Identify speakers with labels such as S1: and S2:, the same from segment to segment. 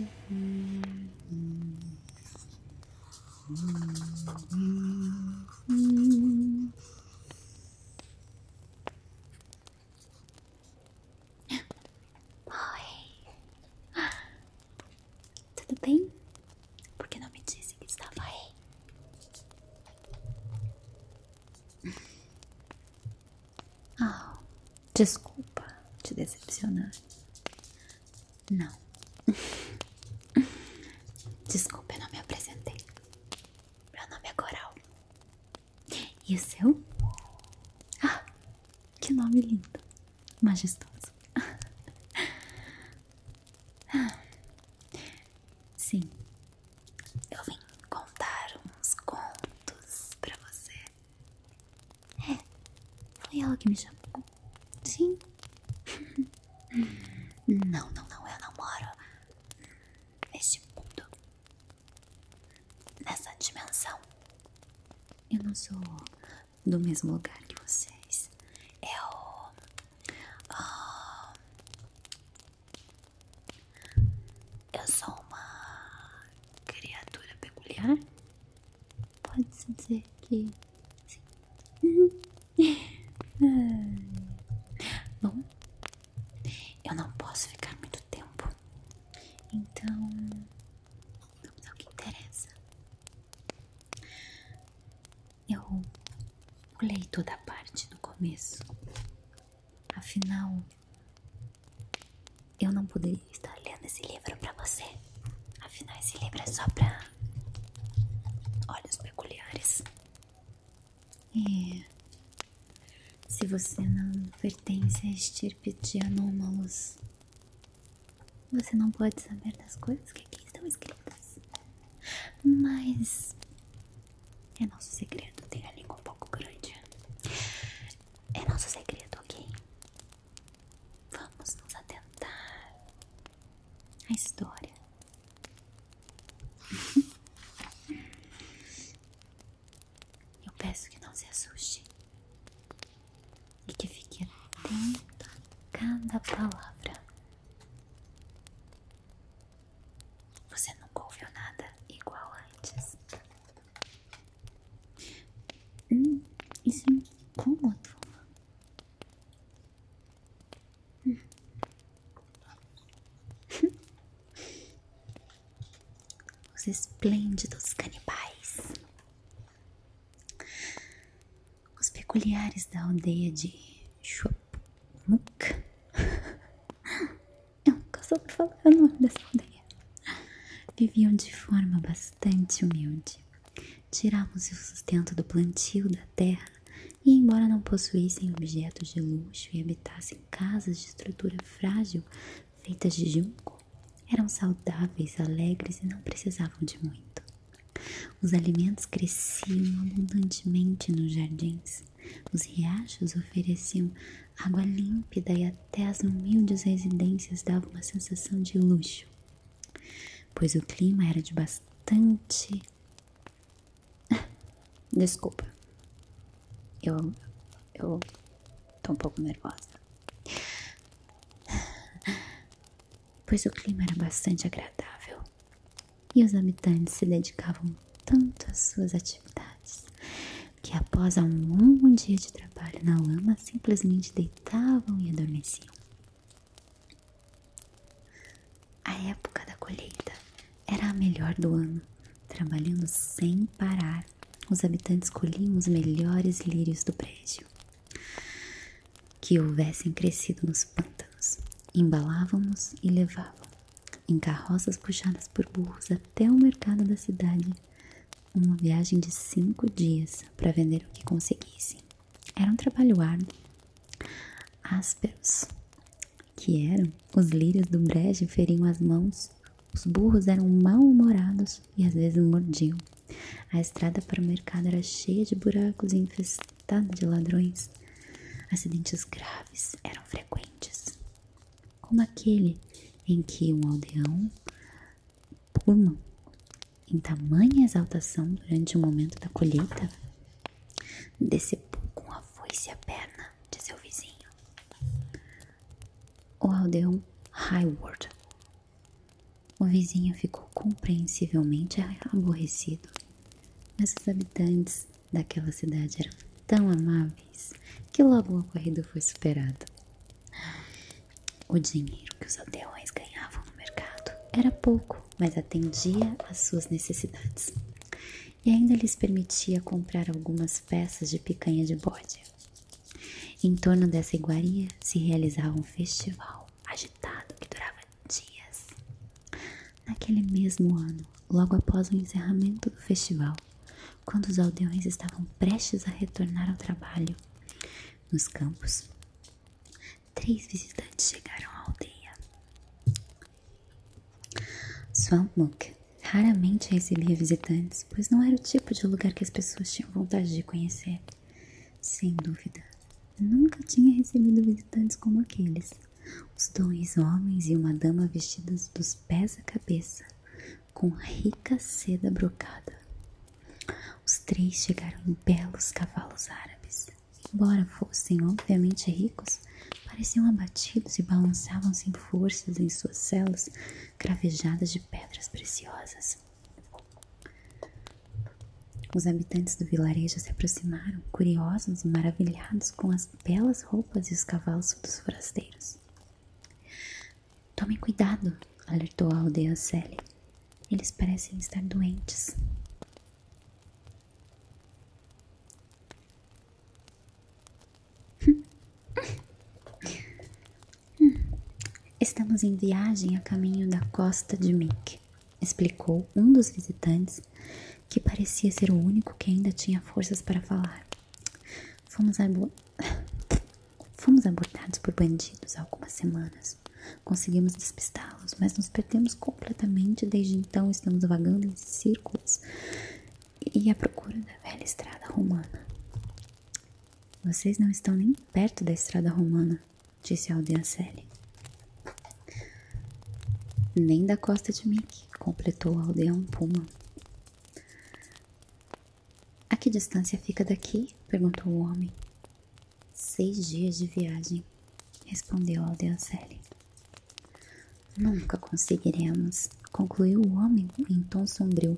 S1: Oi, tudo bem? Por que não me disse que estava aí? Oh, Desculpa te decepcionar. Não. Desculpa, eu não me apresentei. Meu nome é Coral. E o seu? Ah, que nome lindo. Majestoso. Sim. Eu vim contar uns contos pra você. É, foi é ela que me chamou. Sim. não, não, não, eu não moro neste mundo. Nessa dimensão. Eu não sou do mesmo lugar que vocês. Eu. Ah, eu sou uma criatura peculiar. Pode-se dizer que sim. Bom, eu não posso ficar muito tempo, então vamos ao que interessa. Eu pulei toda a parte do começo, afinal eu não poderia estar lendo esse livro para você. Afinal, esse livro é só pra olhos peculiares. E se você não pertence à estirpe de anômalos, você não pode saber das coisas que aqui estão escritas. Mas é nosso segredo. Tem a língua um pouco grande. É nosso segredo, ok? Vamos nos atentar à história. Eu peço que não se assuste e que fique atento a cada palavra. Você nunca ouviu nada igual antes. Hum, isso é incômodo. Hum. Os esplêndidos canibais. Os peculiares da aldeia de Chupmuk. Eu nunca soube falar é o nome dessa aldeia. Viviam de forma bastante bastante humilde. Tirávamos o sustento do plantio da terra e, embora não possuíssem objetos de luxo e habitassem casas de estrutura frágil feitas de junco, eram saudáveis, alegres e não precisavam de muito. Os alimentos cresciam abundantemente nos jardins. Os riachos ofereciam água límpida e a até as humildes residências davam uma sensação de luxo, pois o clima era de bastante. Desculpa, eu, eu tô um pouco nervosa. Pois o clima era bastante agradável e os habitantes se dedicavam tanto às suas atividades que, após um longo dia de trabalho na lama, simplesmente deitavam deitavam e adormeciam. A época da colheita era a melhor do ano. Trabalhando sem parar, os habitantes colhiam os melhores lírios do prédio que houvessem crescido nos pântanos, embalavam-nos e levavam em carroças puxadas por burros até o mercado da cidade, uma viagem de cinco dias para vender o que conseguissem. Era um trabalho árduo, ásperos, que eram os lírios do brejo feriam as mãos, os burros eram mal-humorados e às vezes mordiam. A estrada para o mercado era cheia de buracos e infestada de ladrões. Acidentes graves eram frequentes, como aquele em que um aldeão Pullman, em tamanha exaltação durante o momento da colheita, decepou com a foice a perna de seu vizinho, o aldeão Highward. O vizinho ficou compreensivelmente aborrecido, mas os habitantes daquela cidade eram tão amáveis que logo o ocorrido foi superado. O dinheiro que os aldeões ganhavam no mercado era pouco, mas atendia às suas necessidades e ainda lhes permitia comprar algumas peças de picanha de bode. Em torno dessa iguaria se realizava um festival agitado que durava dias. Naquele mesmo ano, logo após o encerramento do festival, quando os aldeões estavam prestes a retornar ao trabalho, nos campos. Três visitantes chegaram à aldeia. Swampmuk raramente recebia visitantes, pois não era o tipo de lugar que as pessoas tinham vontade de conhecer. Sem dúvida, nunca tinha recebido visitantes como aqueles. Os dois homens e uma dama vestidos dos pés à cabeça com rica seda brocada. Os três chegaram em belos cavalos árabes. Embora fossem obviamente ricos, pareciam abatidos e balançavam sem -se forças em suas celas cravejadas de pedras preciosas. Os habitantes do vilarejo se aproximaram, curiosos e maravilhados com as belas roupas e os cavalos dos forasteiros. Tomem cuidado, alertou a aldeia Sally. Eles parecem estar doentes. Estamos em viagem a caminho da costa de Mick, explicou um dos visitantes, que parecia ser o único que ainda tinha forças para falar. Fomos Fomos abordados por bandidos há algumas semanas. Conseguimos despistá-los, mas nos perdemos completamente. Desde então, estamos vagando em círculos e à procura da velha estrada romana. Vocês não estão nem perto da estrada romana, disse Aldeancelli. Nem da costa de Mickey, completou o aldeão Puma. A que distância fica daqui? perguntou o homem. Seis dias de viagem, respondeu a Aldeacelli. Nunca conseguiremos, concluiu o homem em tom sombrio.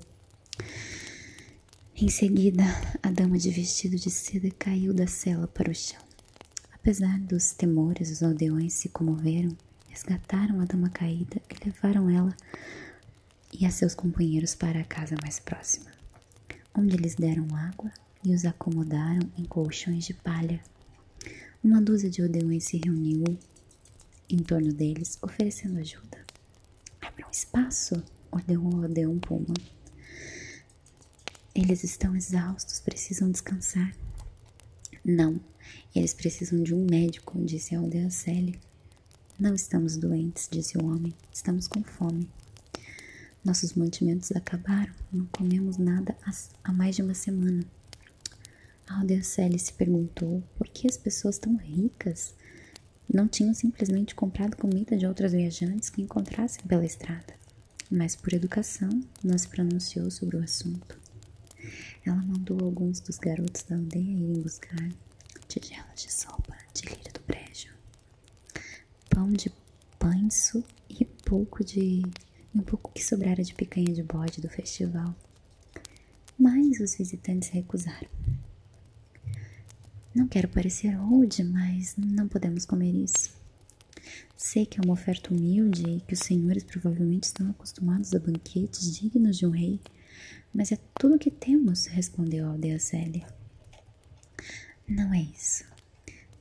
S1: Em seguida, a dama de vestido de seda caiu da cela para o chão. Apesar dos temores, os aldeões se comoveram, resgataram a dama caída e levaram ela e a seus companheiros para a casa mais próxima, onde lhes deram água e os acomodaram em colchões de palha. Uma dúzia de aldeões se reuniu em torno deles, oferecendo ajuda. Abra um espaço, ordenou aldeão Puma. Eles estão exaustos, precisam descansar. Não, eles precisam de um médico, disse a aldeia Célia. Não estamos doentes, disse o homem, estamos com fome. Nossos mantimentos acabaram, não comemos nada há mais de uma semana. A Aldeocele se perguntou por que as pessoas tão ricas não tinham simplesmente comprado comida de outras viajantes que encontrassem pela estrada. Mas, por educação, não se pronunciou sobre o assunto. Ela mandou alguns dos garotos da aldeia irem buscar tigelas de sopa de lira do brejo, pão de panço e um pouco de um pouco que sobrara de picanha de bode do festival. Mas os visitantes recusaram. Não quero parecer rude, mas não podemos comer isso. Sei que é uma oferta humilde e que os senhores provavelmente estão acostumados a banquetes dignos de um rei, mas é tudo o que temos, respondeu Aldeazelli. Não é isso.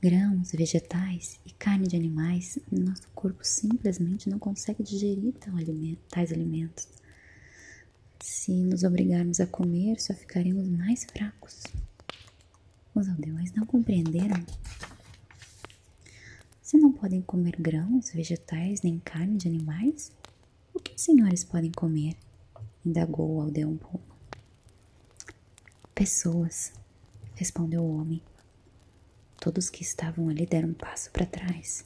S1: Grãos, vegetais e carne de animais, nosso corpo simplesmente não consegue digerir tais alimentos. Se nos obrigarmos a comer, só ficaremos mais fracos. Os aldeões não compreenderam. Se não podem comer grãos, vegetais nem carne de animais, o que os senhores podem comer? indagou Aldeão Puma. Pessoas, respondeu o homem. Todos que estavam ali deram um passo para trás.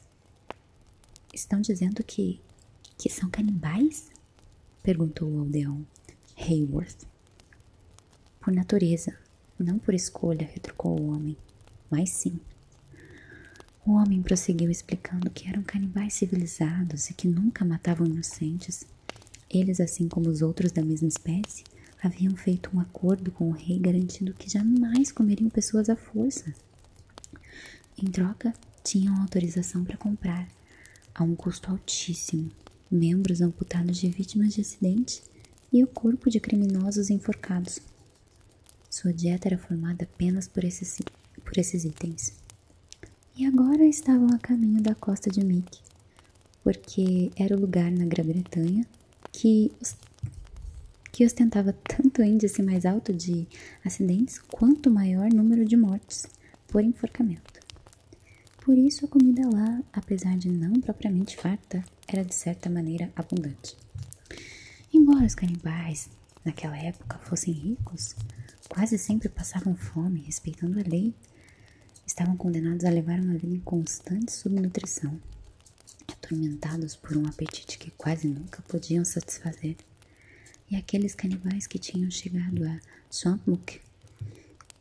S1: Estão dizendo que. que são canibais? perguntou o aldeão Hayworth. Por natureza, não por escolha, retrucou o homem, mas sim. O homem prosseguiu explicando que eram canibais civilizados e que nunca matavam inocentes. Eles, assim como os outros da mesma espécie, haviam feito um acordo com o rei garantindo que jamais comeriam pessoas à força. Em troca, tinham autorização para comprar, a um custo altíssimo, membros amputados de vítimas de acidentes e o corpo de criminosos enforcados. Sua dieta era formada apenas por esses itens. E agora estavam a caminho da costa de Meath, porque era o lugar na Grã-Bretanha que, ostentava tanto índice mais alto de acidentes quanto maior número de mortes por enforcamento. Por isso, a comida lá, apesar de não propriamente farta, era de certa maneira abundante. Embora os canibais naquela época, fossem ricos, quase sempre passavam fome, respeitando a lei, estavam condenados a levar uma vida em constante subnutrição, atormentados por um apetite que quase nunca podiam satisfazer. E aqueles canibais que tinham chegado a Swampmuk,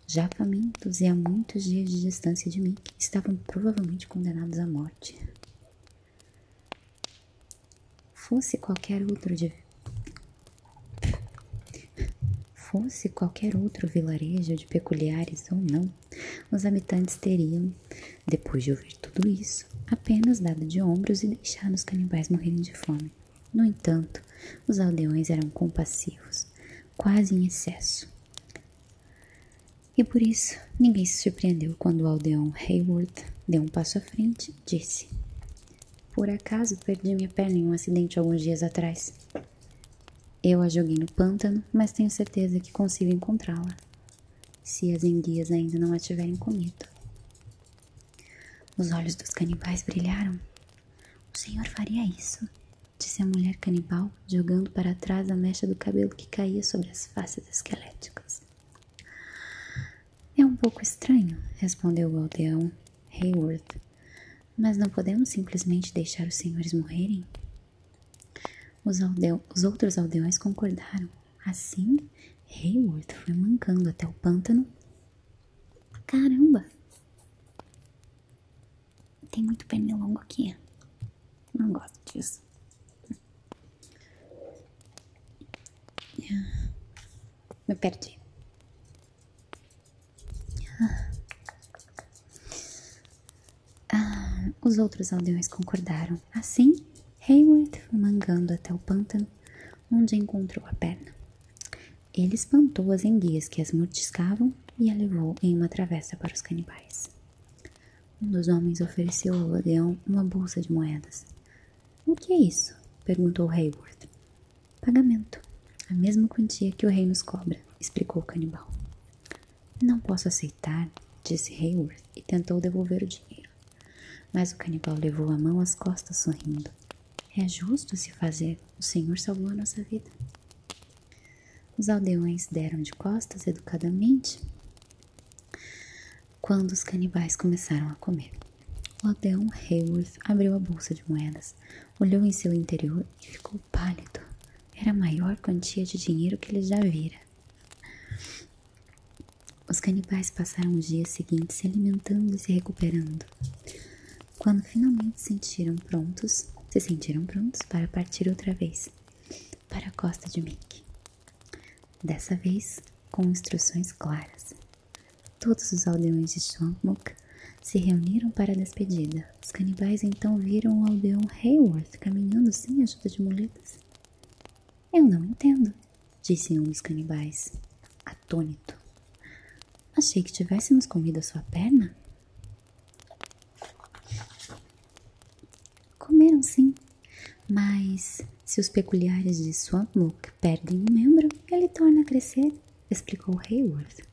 S1: já famintos e a muitos dias de distância de mim, estavam provavelmente condenados à morte. Fosse qualquer outro de fosse qualquer outro vilarejo de peculiares ou não, os habitantes teriam, depois de ouvir tudo isso, apenas dado de ombros e deixado os canibais morrendo de fome. No entanto, os aldeões eram compassivos, quase em excesso. E por isso, ninguém se surpreendeu quando o aldeão Hayward deu um passo à frente disse. Por acaso perdi minha perna em um acidente alguns dias atrás. Eu a joguei no pântano, mas tenho certeza que consigo encontrá-la. Se as enguias ainda não a tiverem comido. Os olhos dos canibais brilharam. O senhor faria isso? Disse a mulher canibal, jogando para trás a mecha do cabelo que caía sobre as faces esqueléticas. É um pouco estranho, respondeu o aldeão Hayward, mas não podemos simplesmente deixar os senhores morrerem? Os, aldeo os outros aldeões concordaram. Assim, Hayward foi mancando até o pântano. Caramba! Tem muito longo aqui. Não gosto disso. Me perdi. Ah, os outros aldeões concordaram. Assim, Hayward foi mangando até o pântano, onde encontrou a perna. Ele espantou as enguias que as mortiscavam e a levou em uma travessa para os canibais. Um dos homens ofereceu ao aldeão uma bolsa de moedas, o que é isso? perguntou Hayward. Pagamento. A mesma quantia que o rei nos cobra, explicou o canibal. Não posso aceitar, disse Hayward e tentou devolver o dinheiro. Mas o canibal levou a mão às costas, sorrindo. É justo se fazer. O Senhor salvou a nossa vida. Os aldeões deram de costas educadamente quando os canibais começaram a comer. o Lodeon Hayworth abriu a bolsa de moedas, olhou em seu interior e ficou pálido. Era a maior quantia de dinheiro que ele já vira. Os canibais passaram os dias seguintes se alimentando e se recuperando. Quando finalmente sentiram prontos, se sentiram prontos para partir outra vez para a costa de Mick. Dessa vez com instruções claras. Todos os aldeões de Swampmuk se reuniram para a despedida. Os canibais então viram o aldeão Hayward caminhando sem ajuda de muletas. Eu não entendo, disse um dos canibais, atônito. Achei que tivéssemos comido a sua perna. Comeram sim, mas se os peculiares de Swampmook perdem um membro, ele torna a crescer, explicou Hayward.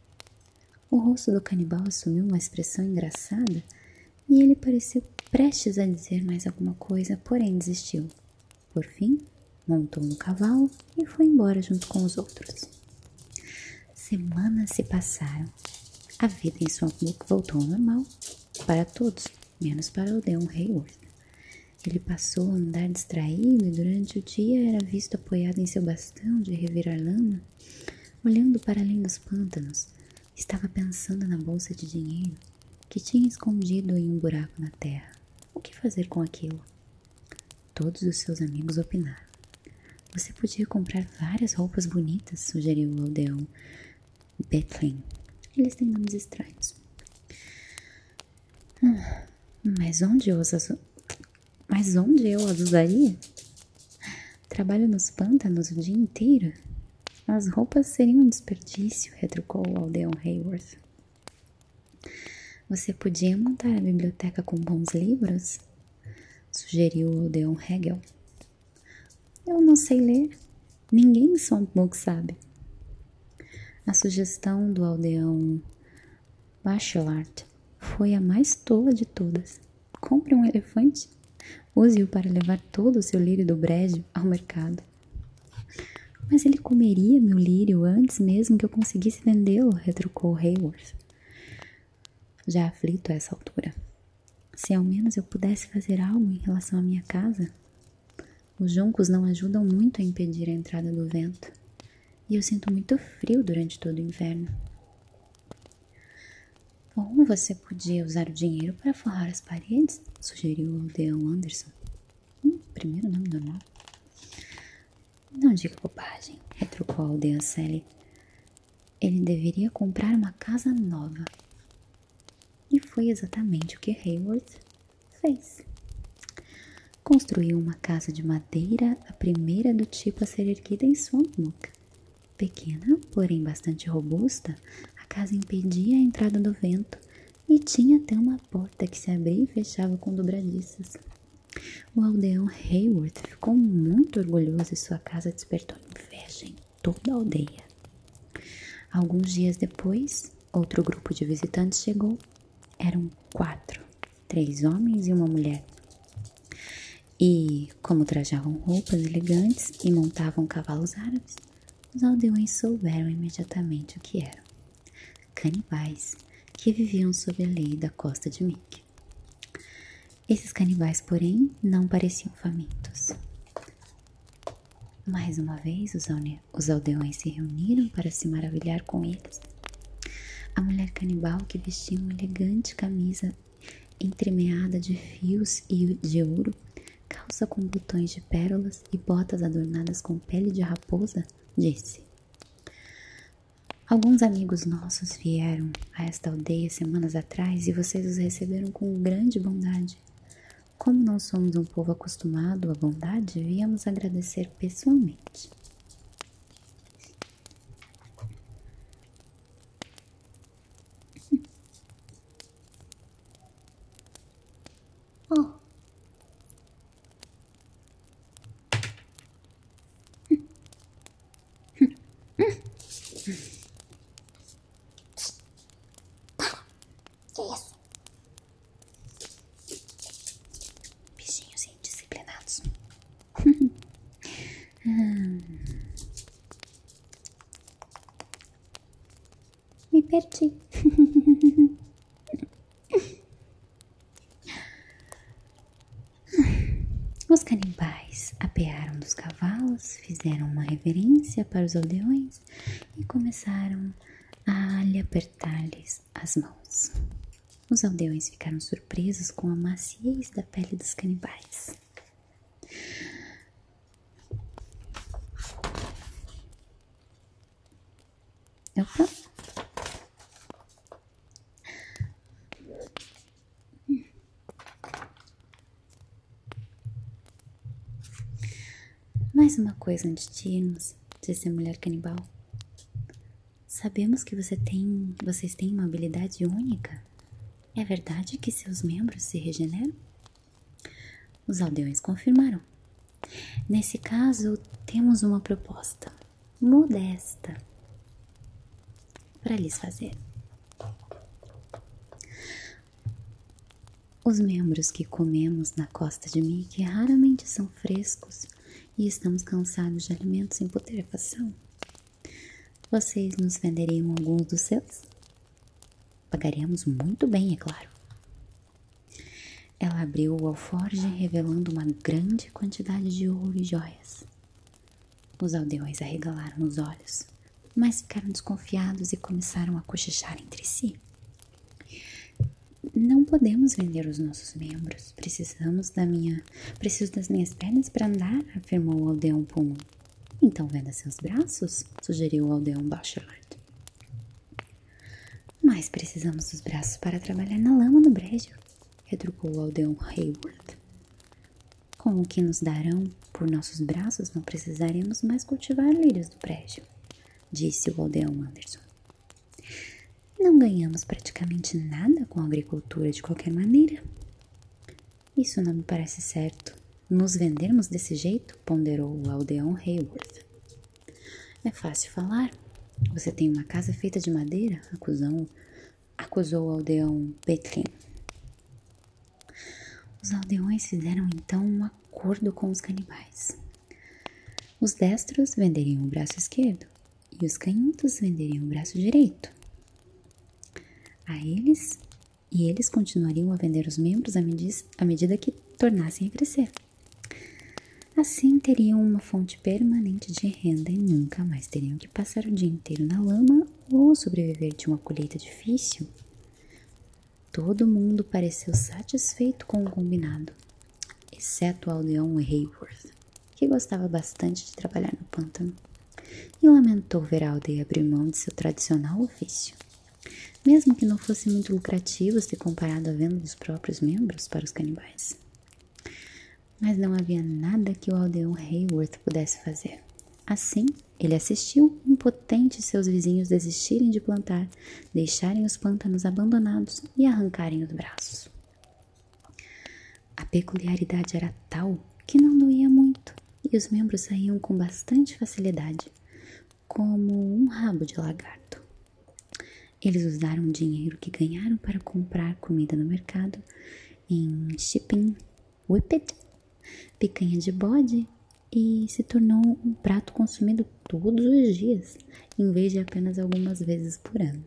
S1: O rosto do canibal assumiu uma expressão engraçada e ele pareceu prestes a dizer mais alguma coisa, porém desistiu. Por fim, montou no cavalo e foi embora junto com os outros. Semanas se passaram. A vida em Swampbook voltou ao normal para todos menos para o Odeon Hayward. Ele passou a andar distraído e durante o dia era visto apoiado em seu bastão de revirar lama, olhando para além dos pântanos. Estava pensando na bolsa de dinheiro que tinha escondido em um buraco na terra. O que fazer com aquilo? Todos os seus amigos opinaram. Você podia comprar várias roupas bonitas, sugeriu o aldeão Bethlen. Eles têm nomes estranhos. Mas onde eu uso Mas onde eu as usaria? Trabalho nos pântanos o dia inteiro? As roupas seriam um desperdício, retrucou o aldeão Hayworth. Você podia montar a biblioteca com bons livros? Sugeriu o aldeão Hegel. Eu não sei ler, Ninguém em Songbook sabe. A sugestão do aldeão Bachelard foi a mais tola de todas. Compre um elefante, use-o para levar todo o seu lírio do brejo ao mercado. Mas ele comeria meu lírio antes mesmo que eu conseguisse vendê-lo, retrucou Hayworth. Já aflito a essa altura. Se ao menos eu pudesse fazer algo em relação à minha casa. Os juncos não ajudam muito a impedir a entrada do vento, e eu sinto muito frio durante todo o inverno. Como você podia usar o dinheiro para forrar as paredes, sugeriu o aldeão Anderson. Hum, primeiro nome normal. Não diga bobagem, retrucou a aldeia Sally. Ele deveria comprar uma casa nova. E foi exatamente o que Hayward fez. Construiu uma casa de madeira, a primeira do tipo a ser erguida em Swampnook. Pequena, porém bastante robusta, a casa impedia a entrada do vento e tinha até uma porta que se abria e fechava com dobradiças. O aldeão Hayward ficou muito orgulhoso e sua casa despertou inveja em toda a aldeia. Alguns dias depois, outro grupo de visitantes chegou. Eram quatro: três homens e uma mulher. E, como trajavam roupas elegantes e montavam cavalos árabes, os aldeões souberam imediatamente o que eram: canibais que viviam sob a lei da costa de Mink. Esses canibais, porém, não pareciam famintos. Mais uma vez, os aldeões os aldeões se reuniram para se maravilhar com eles. A mulher canibal, que vestia uma elegante camisa entremeada de fios e de ouro, calça com botões de pérolas e botas adornadas com pele de raposa, disse: Alguns amigos nossos vieram a esta aldeia semanas atrás e vocês os receberam com grande bondade. Como não somos um povo acostumado à bondade, viemos agradecer pessoalmente. Hum. Que isso? Bichinhos indisciplinados. Me perdi. Os canibais apearam dos cavalos, fizeram uma reverência para os aldeões e começaram a a lhe apertar-lhes as mãos. Os aldeões ficaram surpresos com a maciez da pele dos canibais. Mais uma coisa antes de irmos, disse a mulher canibal. Sabemos que você tem, vocês têm uma habilidade única. É verdade que seus membros se regeneram? Os aldeões confirmaram. Nesse caso, temos uma proposta modesta para lhes fazer. Os membros que comemos na costa de Mickey raramente são frescos e estamos cansados de alimentos em putrefação. Vocês nos venderiam alguns dos seus? Pagaríamos muito bem, é claro. Ela abriu o alforje, revelando uma grande quantidade de ouro e joias. Os aldeões arregalaram os olhos, mas ficaram desconfiados e começaram a cochichar entre si não podemos vender os nossos membros. Precisamos da minha, preciso das minhas pernas para andar, afirmou Aldeon Pullman. Então venda seus braços, sugeriu Aldeon Bachelard. Mas precisamos dos braços para trabalhar na lama do brejo, retrucou Aldeon Hayward. Com o que nos darão por nossos braços, não precisaremos mais cultivar lírios do brejo disse o aldeão Anderson. Não ganhamos praticamente nada com a agricultura de qualquer maneira. Isso não me parece certo. Nos vendermos desse jeito, ponderou o aldeão Hayworth. É fácil falar. Você tem uma casa feita de madeira, acusou, acusou o aldeão Petlin. Os aldeões fizeram então um acordo com os canibais. Os destros venderiam o braço esquerdo e os canhotos venderiam o braço direito. A eles e eles continuariam a vender os membros à, à medida que tornassem a crescer. Assim teriam uma fonte permanente de renda e nunca mais teriam que passar o dia inteiro na lama ou sobreviver de uma colheita difícil Todo mundo pareceu satisfeito com o combinado, exceto Aldeon Hayworth, que gostava bastante de trabalhar no pântano, e lamentou ver a aldeia abrir mão de seu tradicional ofício. Mesmo que não fosse muito lucrativo se comparado à venda dos próprios membros para os canibais. Mas não havia nada que o aldeão Hayworth pudesse fazer. Assim, ele assistiu, impotente, seus vizinhos desistirem de plantar deixarem os pântanos abandonados e arrancarem o braço. A peculiaridade era tal que não doía muito e os membros saíam com bastante facilidade, como um rabo de lagarto. Eles usaram o dinheiro que ganharam para comprar comida no mercado em chipim, whippet, picanha de bode e se tornou um prato consumido todos os dias, em vez de apenas algumas vezes por ano.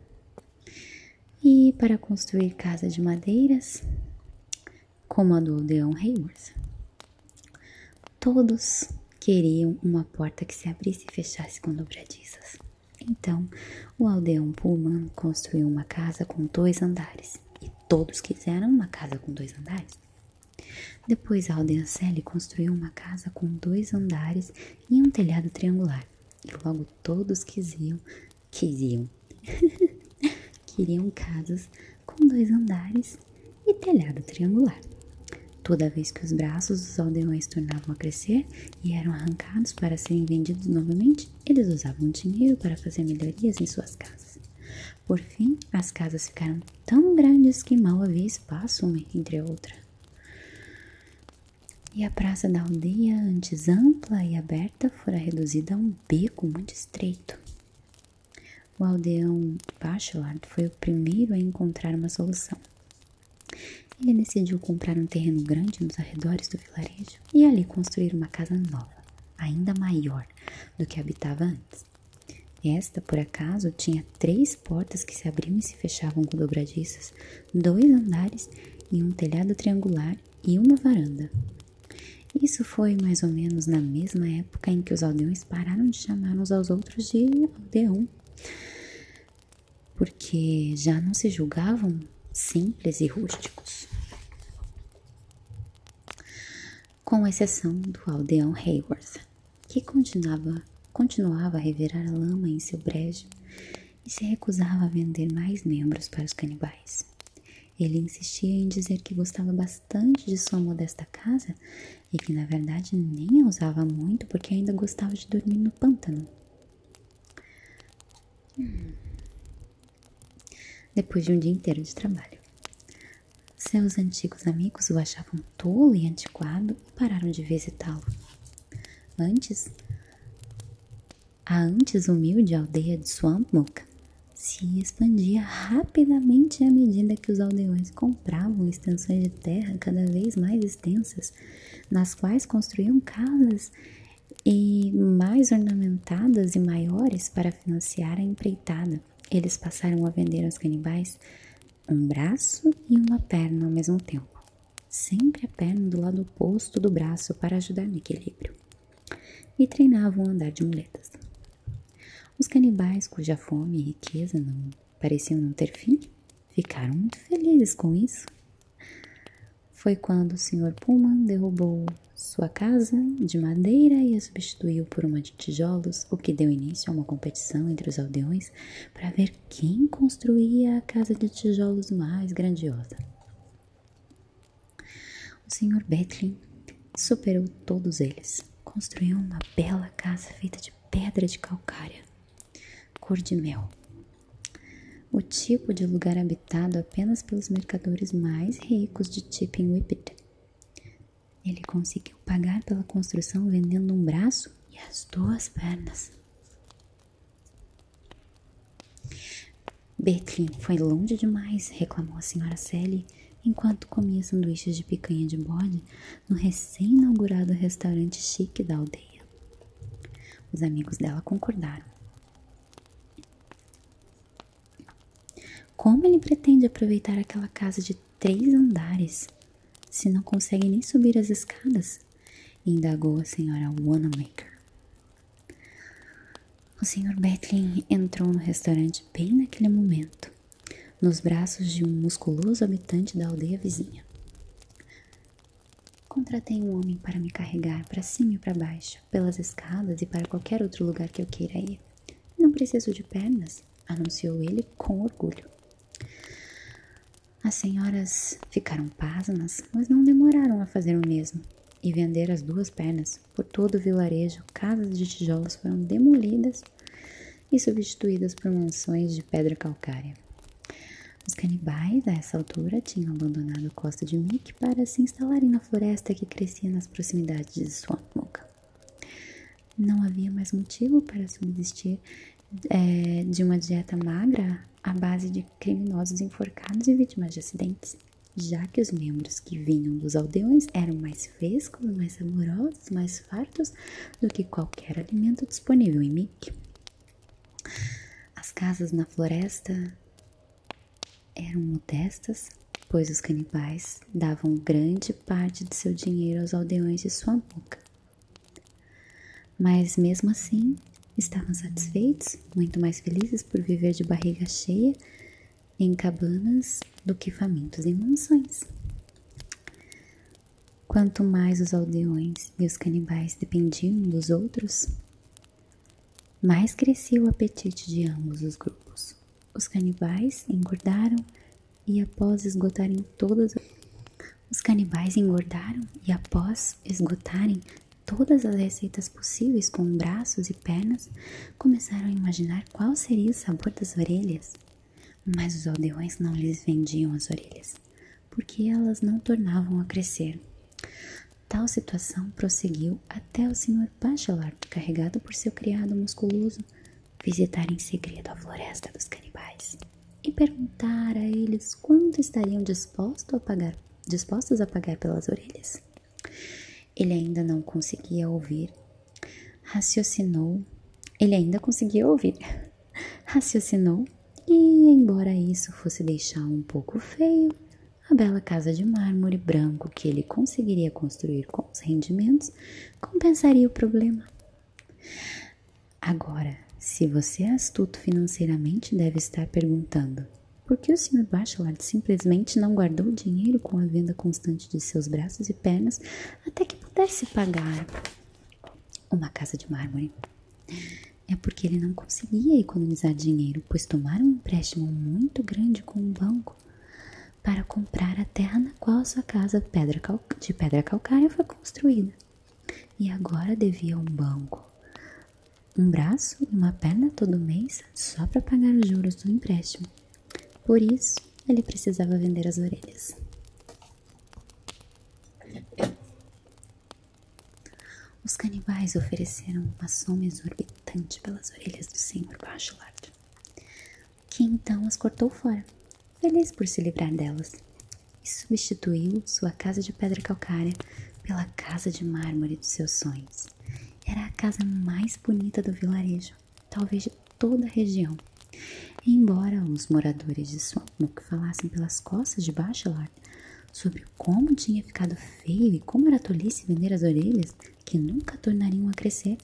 S1: E para construir casas de madeiras, como a do aldeão Hayward, todos queriam uma porta que se abrisse e fechasse com dobradiças. Então, o aldeão Pullman construiu uma casa com dois andares, e todos quiseram uma casa com dois andares. Depois, Aldencelli construiu uma casa com dois andares e um telhado triangular. E logo todos quisiam, quisiam, queriam casas com dois andares e telhado triangular. Toda vez que os braços dos aldeões tornavam a crescer e eram arrancados para serem vendidos novamente, eles usavam dinheiro para fazer melhorias em suas casas. Por fim, as casas ficaram tão grandes que mal havia espaço uma entre a outra. E a praça da aldeia, antes ampla e aberta, fora reduzida a um beco muito estreito. O aldeão Bachelard foi o primeiro a encontrar uma solução. Ele decidiu comprar um terreno grande nos arredores do vilarejo e ali construir uma casa nova, ainda maior do que habitava antes. Esta, por acaso, tinha três portas que se abriam e se fechavam com dobradiças, dois andares e um telhado triangular e uma varanda. Isso foi mais ou menos na mesma época em que os aldeões pararam de chamar uns aos outros de aldeão, porque já não se julgavam simples e rústicos, com exceção do aldeão Hayworth, que continuava, continuava a revirar a lama em seu brejo e se recusava a vender mais membros para os canibais. Ele insistia em dizer que gostava bastante de sua modesta casa e que na verdade nem a usava muito porque ainda gostava de dormir no pântano. Hum. Depois de um dia inteiro de trabalho, seus antigos amigos o achavam tolo e antiquado e pararam de visitá-lo. Antes, a antes humilde aldeia de Swampnook se expandia rapidamente à medida que os aldeões compravam extensões de terra cada vez mais extensas, nas quais construíam casas e mais ornamentadas e maiores para financiar a empreitada. Eles passaram a vender aos canibais um braço e uma perna ao mesmo tempo, sempre a perna do lado oposto do braço para ajudar no equilíbrio, e treinavam andar de muletas. Os canibais, cuja fome e riqueza pareciam não ter fim, ficaram muito felizes com isso. Foi quando o Sr. Pullman derrubou sua casa de madeira e a substituiu por uma de de tijolos, o que deu início a uma competição entre os aldeões para ver quem construía a casa de tijolos mais grandiosa. O Sr. Betlin superou todos eles. Construiu uma bela casa feita de pedra de calcária, cor de mel. O tipo de lugar habitado apenas pelos mercadores mais ricos de Tipping Whippet. Ele conseguiu pagar pela construção vendendo um braço e as duas pernas. Beckley foi longe demais, reclamou a senhora Sally enquanto comia sanduíches de picanha de bode no recém-inaugurado restaurante chique da aldeia. Os amigos dela concordaram. Como ele pretende aproveitar aquela casa de três andares. Se não consegue nem subir as escadas, indagou a senhora Wanamaker. O senhor Betlin entrou no restaurante bem naquele momento, nos braços de um musculoso habitante da aldeia vizinha. Contratei um homem para me carregar para cima e para baixo, pelas escadas e para qualquer outro lugar que eu queira ir. Não preciso de pernas, anunciou ele com orgulho. As senhoras ficaram pasmas, mas não demoraram a fazer o mesmo e vender as duas pernas. Por todo o vilarejo, casas de tijolos foram demolidas e substituídas por mansões de pedra calcária. Os canibais, a essa altura, tinham abandonado a costa de Mick para se instalarem na floresta que crescia nas proximidades de Swamp não havia mais motivo para subsistir é, de uma dieta magra à base de criminosos enforcados e vítimas de acidentes, já que os membros que vinham dos aldeões eram mais frescos, mais saborosos, mais fartos do que qualquer alimento disponível em Mick. As casas na floresta eram modestas, pois os canibais davam grande parte de seu dinheiro aos aldeões de sua boca. Mas mesmo assim, estavam satisfeitos, muito mais felizes por viver de barriga cheia em cabanas do que famintos em mansões. Quanto mais os aldeões e os canibais dependiam uns dos outros, mais crescia o apetite de ambos os grupos. Os canibais engordaram e após esgotarem todas os canibais engordaram e após esgotarem todas as receitas possíveis com braços e pernas, começaram a imaginar qual seria o sabor das orelhas. Mas os aldeões não lhes vendiam as orelhas, porque elas não tornavam a crescer. Tal situação prosseguiu até o senhor Bachelard, carregado por seu criado musculoso, visitar em segredo a floresta dos canibais e perguntar a eles quanto estariam dispostos a pagar, dispostos a pagar pelas orelhas. Ele ainda não conseguia ouvir. Raciocinou. Ele ainda conseguia ouvir. Raciocinou. E, embora isso fosse deixar um pouco feio, a bela casa de mármore branco que ele conseguiria construir com os rendimentos compensaria o problema. Agora, se você é astuto financeiramente, deve estar perguntando: por que o Sr. Bachelard simplesmente não guardou o dinheiro com a venda constante de seus braços e pernas até que pudesse pagar uma casa de mármore? É porque ele não conseguia economizar dinheiro, pois tomara um empréstimo muito grande com o um banco para comprar a terra na qual sua casa de pedra calcária foi construída. E agora devia um banco, um braço e uma perna todo mês só para pagar os juros do empréstimo. Por isso, ele precisava vender as orelhas. Os canibais ofereceram uma soma exorbitante pelas orelhas do senhor Bachelard que então as cortou fora, feliz por se livrar delas, e substituiu sua casa de pedra calcária pela casa de mármore dos seus sonhos. Era a casa mais bonita do vilarejo, talvez de toda a região. Embora os moradores de sua Swampnook falassem pelas costas de Bachelard sobre como tinha ficado feio e como era tolice vender as orelhas, que nunca tornariam a crescer,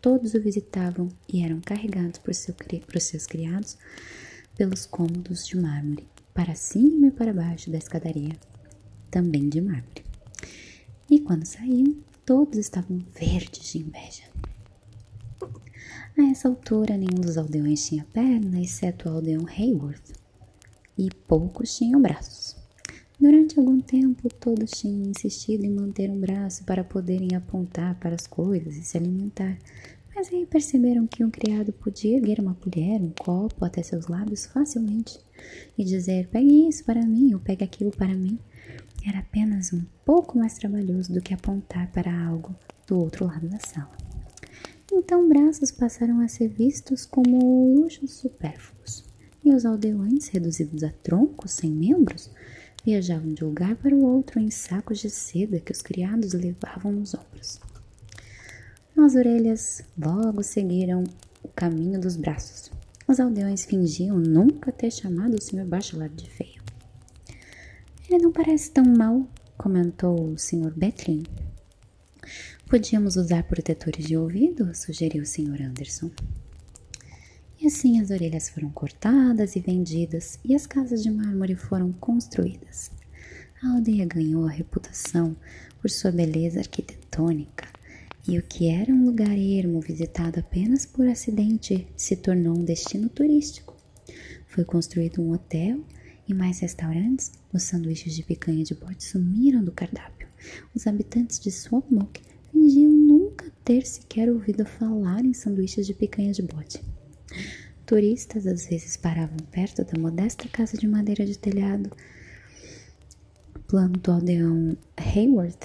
S1: Todos o visitavam e eram carregados por, seu, seus criados pelos cômodos de mármore, para cima e para baixo da escadaria, também de mármore. E quando saíam, todos estavam verdes de inveja. A essa altura, nenhum dos aldeões tinha perna, exceto o aldeão Hayworth, e poucos tinham braços. Durante algum tempo, todos tinham insistido em manter um braço para poderem apontar para as coisas e se alimentar, mas aí perceberam que um criado podia erguer uma colher, um copo até seus lábios facilmente e dizer: pegue isso para mim ou pegue aquilo para mim. Era apenas um pouco mais trabalhoso do que apontar para algo do outro lado da sala. Então, braços passaram a ser vistos como luxos supérfluos, e os aldeões, reduzidos a troncos sem membros, viajavam de um lugar para o outro em sacos de seda que os criados levavam nos ombros. As orelhas logo seguiram o caminho dos braços. Os aldeões fingiam nunca ter chamado o Sr. Bachelard de feio. Ele não parece tão mal, comentou o Sr. Betlin. Podíamos usar protetores de ouvido, sugeriu o Sr. Anderson. E assim as orelhas foram cortadas e vendidas, e as casas de mármore foram construídas. A aldeia ganhou a reputação por sua beleza arquitetônica, e o que era um lugar ermo visitado apenas por acidente se tornou um destino turístico. Foi construído um hotel e mais restaurantes. Os sanduíches de picanha de bode sumiram do cardápio. Os habitantes de Swamok fingiam nunca ter sequer ouvido falar em sanduíches de picanha de bote. Turistas às vezes paravam perto da modesta casa de madeira de telhado plano do aldeão Hayward,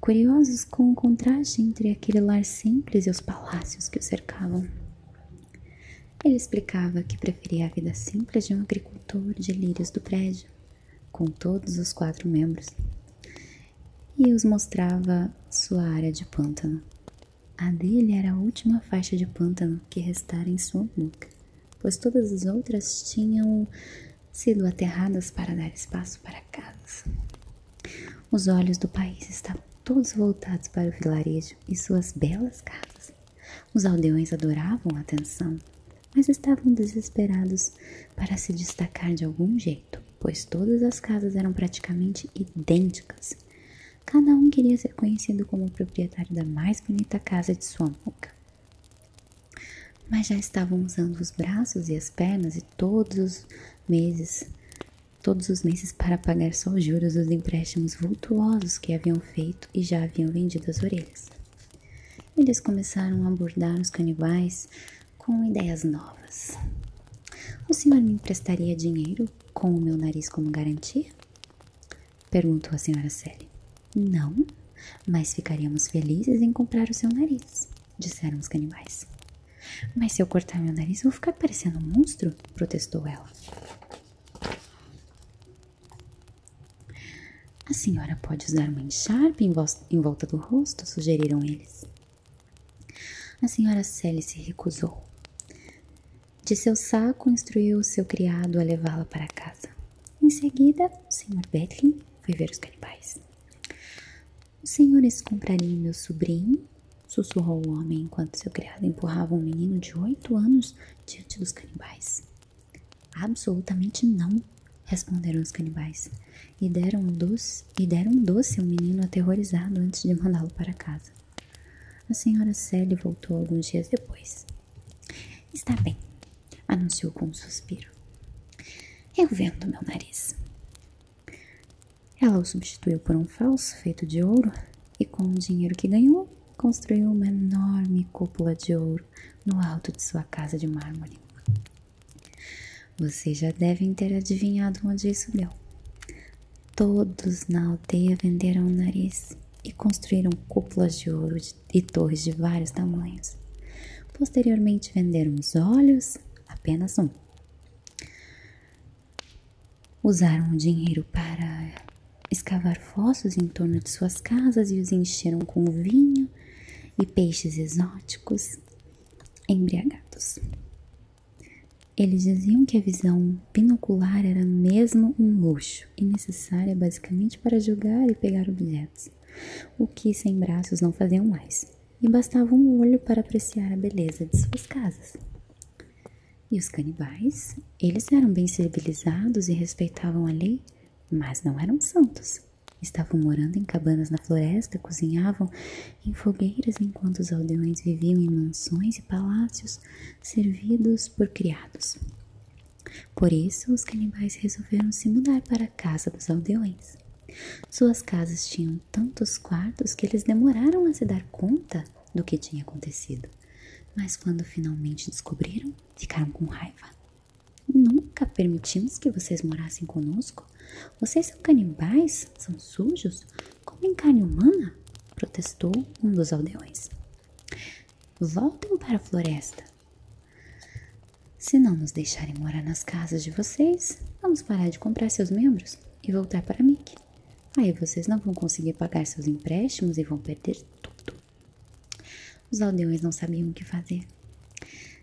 S1: curiosos com o contraste entre aquele lar simples e os palácios que o cercavam. Ele explicava que preferia a vida simples de um agricultor de lírios do prédio, com todos os quatro membros e os mostrava sua área de pântano. A dele era a última faixa de pântano que restara em sua boca, pois todas as outras tinham sido aterradas para dar espaço para casas. Os olhos do país estavam todos voltados para o vilarejo e suas belas casas. Os aldeões adoravam a atenção, mas estavam desesperados para se destacar de algum jeito jeito, pois todas as casas eram praticamente idênticas. Cada um queria ser conhecido como o proprietário da mais bonita casa de sua boca. Mas já estavam usando os braços e as pernas e todos os meses, todos os meses para pagar só os juros dos empréstimos vultuosos que haviam feito e já haviam vendido as orelhas. Eles começaram a abordar os canibais, com ideias novas. O senhor me emprestaria dinheiro com o meu nariz como garantia? Perguntou a senhora Sally. Não, mas ficaríamos felizes em comprar o seu nariz, disseram os canibais. Mas se eu cortar meu nariz, vou ficar parecendo um monstro, protestou ela. A senhora pode usar uma encharpe em volta do rosto, sugeriram eles. A senhora Sally se recusou. De seu saco, instruiu o seu criado a levá-la para casa. Em seguida, o senhor Betlin foi ver os canibais. Os senhores comprariam meu sobrinho? sussurrou o homem enquanto seu criado empurrava um menino de oito anos diante dos canibais. Absolutamente não, responderam os canibais e deram um doce, e deram um doce ao menino aterrorizado antes de mandá-lo para casa. A senhora Sally voltou alguns dias depois. Está bem, anunciou com um suspiro. Eu vendo meu nariz. Ela o substituiu por um falso feito de ouro e, com o dinheiro que ganhou, construiu uma enorme cúpula de ouro no alto de sua casa de mármore. Vocês já devem ter adivinhado onde isso deu. Todos na aldeia venderam o nariz e construíram cúpulas de ouro e torres de vários tamanhos. Posteriormente venderam os olhos, apenas um. Usaram o dinheiro para escavar fossos em torno de suas casas e os encheram com vinho e peixes exóticos embriagados. Eles diziam que a visão binocular era mesmo um luxo e necessária basicamente para jogar e pegar objetos, o que sem braços não faziam mais, e bastava um olho para apreciar a beleza de suas casas. E os canibais? Eles eram bem civilizados e respeitavam a lei, mas não eram santos. Estavam morando em cabanas na floresta, cozinhavam em fogueiras enquanto os aldeões viviam em mansões e palácios servidos por criados. Por isso, os canibais resolveram se mudar para a casa dos aldeões. Suas casas tinham tantos quartos que eles demoraram a se dar conta do que tinha acontecido. Mas quando finalmente descobriram, ficaram com raiva. Nunca permitimos que vocês morassem conosco. Vocês são canibais? São sujos? Comem carne humana? Protestou um dos aldeões. Voltem para a floresta. Se não nos deixarem morar nas casas de vocês, vamos parar de comprar seus membros e voltar para Mick. Aí vocês não vão conseguir pagar seus empréstimos e vão perder tudo. Os aldeões não sabiam o que fazer.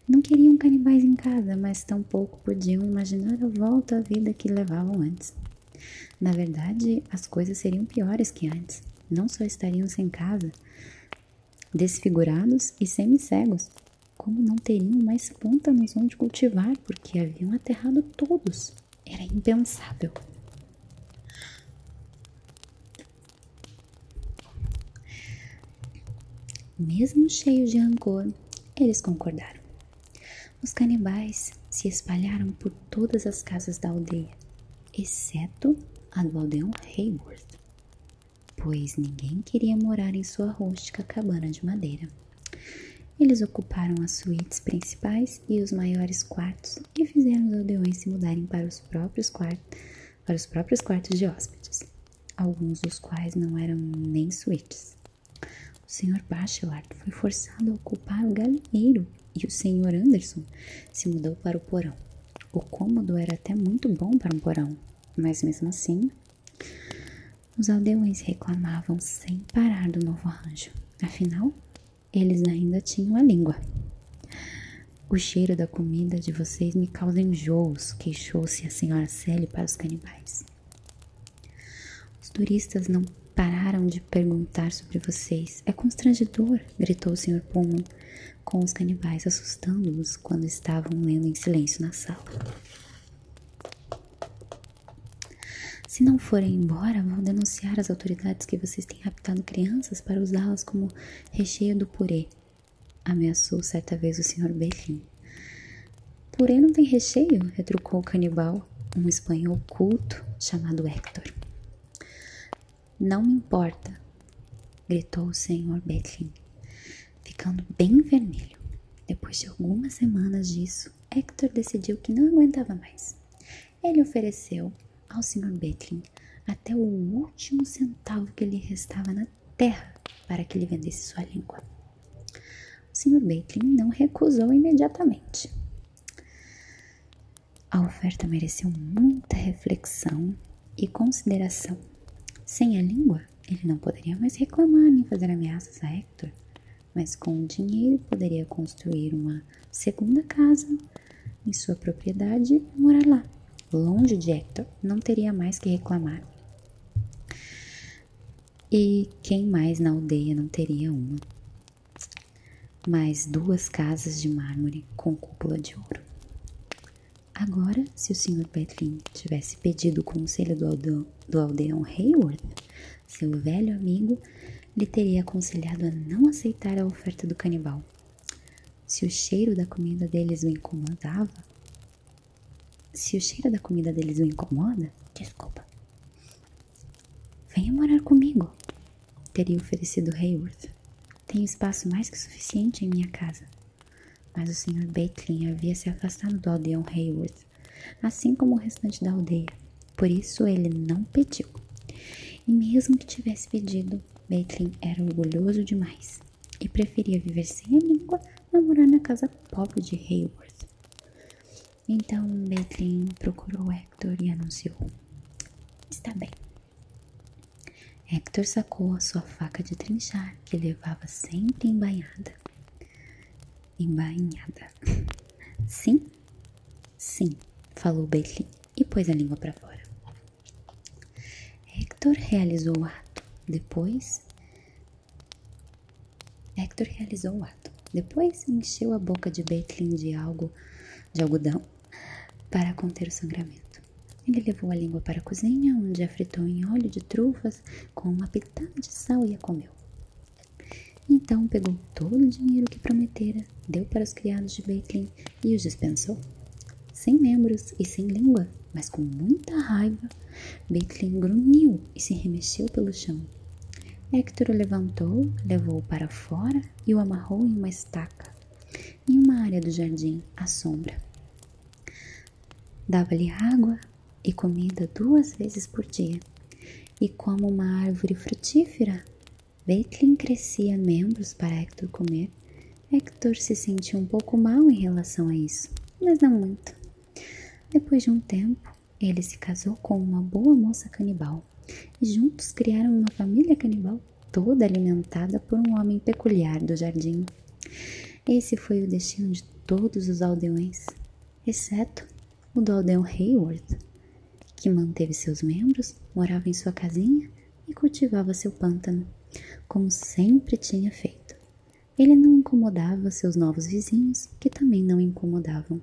S1: Não queriam canibais em casa, mas tampouco podiam imaginar a volta à vida que levavam antes. Na verdade, as coisas seriam piores que antes. Não só estariam sem casa, desfigurados e semi-cegos, como não teriam mais pântanos onde cultivar, porque haviam aterrado todos. Era impensável. Mesmo cheios de rancor, eles concordaram. Os canibais se espalharam por todas as casas da aldeia, exceto a do aldeão Hayworth, pois ninguém queria morar em sua rústica cabana de madeira. Eles ocuparam as suítes principais e os maiores quartos e fizeram os aldeões se mudarem para os próprios quartos, para os próprios quartos de hóspedes, alguns dos quais não eram nem suítes, o senhor Bachelard foi forçado a ocupar o galinheiro e o senhor Anderson se mudou para o porão. O cômodo era até muito bom para um porão, mas mesmo assim, os aldeões reclamavam sem parar do novo arranjo. Afinal, eles ainda tinham a língua. O cheiro da comida de vocês me causa enjoos, queixou-se a senhora Sally para os canibais. Os turistas não pararam de perguntar sobre vocês. É constrangedor, gritou o Sr. Pullman, com os canibais assustando-os quando estavam lendo em silêncio na sala. Se não forem embora, vão denunciar às autoridades que vocês têm raptado crianças para usá-las como recheio do purê, ameaçou certa vez o Sr. Berlim. Porém não tem recheio, retrucou o canibal, um espanhol culto chamado Hector. Não me importa, gritou o senhor Becklin, ficando bem vermelho. Depois de algumas semanas disso, Hector decidiu que não aguentava mais. Ele ofereceu ao Sr. Becklin até o último centavo que lhe restava na terra para que lhe vendesse sua língua. O Sr. Bacon não recusou imediatamente. A oferta mereceu muita reflexão e consideração. Sem a língua, ele não poderia mais reclamar nem fazer ameaças a Hector, mas com o dinheiro poderia construir uma segunda casa em sua propriedade e morar lá. Longe de Hector, não teria mais que reclamar. E quem mais na aldeia não teria uma? Mais duas casas de mármore com cúpula de ouro. Agora, se o Sr. Petlin tivesse pedido o conselho do, aldeão Hayward, seu velho amigo, lhe teria aconselhado a não aceitar a oferta do canibal. Se o cheiro da comida deles o incomodava, se o cheiro da comida deles o incomoda, desculpa. Venha morar comigo, teria oferecido Hayward. Tenho espaço mais que suficiente em minha casa. Mas o Sr. Baitlin havia se afastado do aldeão Hayward, assim como o restante da aldeia. Por isso ele não pediu. E mesmo que tivesse pedido, Baitlin era orgulhoso demais e preferia viver sem a língua a morar na casa pobre de Hayward. Então Bedlin procurou Hector e anunciou: Está bem. Hector sacou a sua faca de trinchar, que levava sempre embainhada. Embainhada. Sim? Sim, falou Bedlin e pôs a língua para fora. Hector realizou o ato. Depois, Hector realizou o ato. Depois encheu a boca de Baitlin de algo de algodão para conter o sangramento. Ele levou a língua para a cozinha, onde a fritou em óleo de trufas com uma pitada de sal e a comeu. Então pegou todo o dinheiro que prometera, deu para os criados de Baitlin e os dispensou. Sem membros e sem língua, mas com muita raiva, Becklin grunhiu e se remexeu pelo chão. Hector o levantou, levou-o para fora e o amarrou em uma estaca, em uma área do jardim, à sombra. Dava-lhe água e comida duas vezes por dia, e como uma árvore frutífera, Becklin crescia membros para Hector comer. Hector se sentia um pouco mal em relação a isso, mas não muito. Depois de um tempo, ele se casou com uma boa moça canibal e juntos criaram uma família canibal toda alimentada por um homem peculiar do jardim. Esse foi o destino de todos os aldeões, exceto o do aldeão Hayward, que manteve seus membros, morava em sua casinha e cultivava seu pântano, como sempre tinha feito. Ele não incomodava seus novos vizinhos, que também não incomodavam,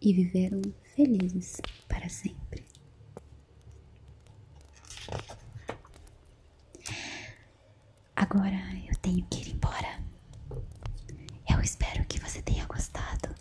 S1: e viveram felizes para sempre. Agora eu tenho que ir embora. Eu espero que você tenha gostado.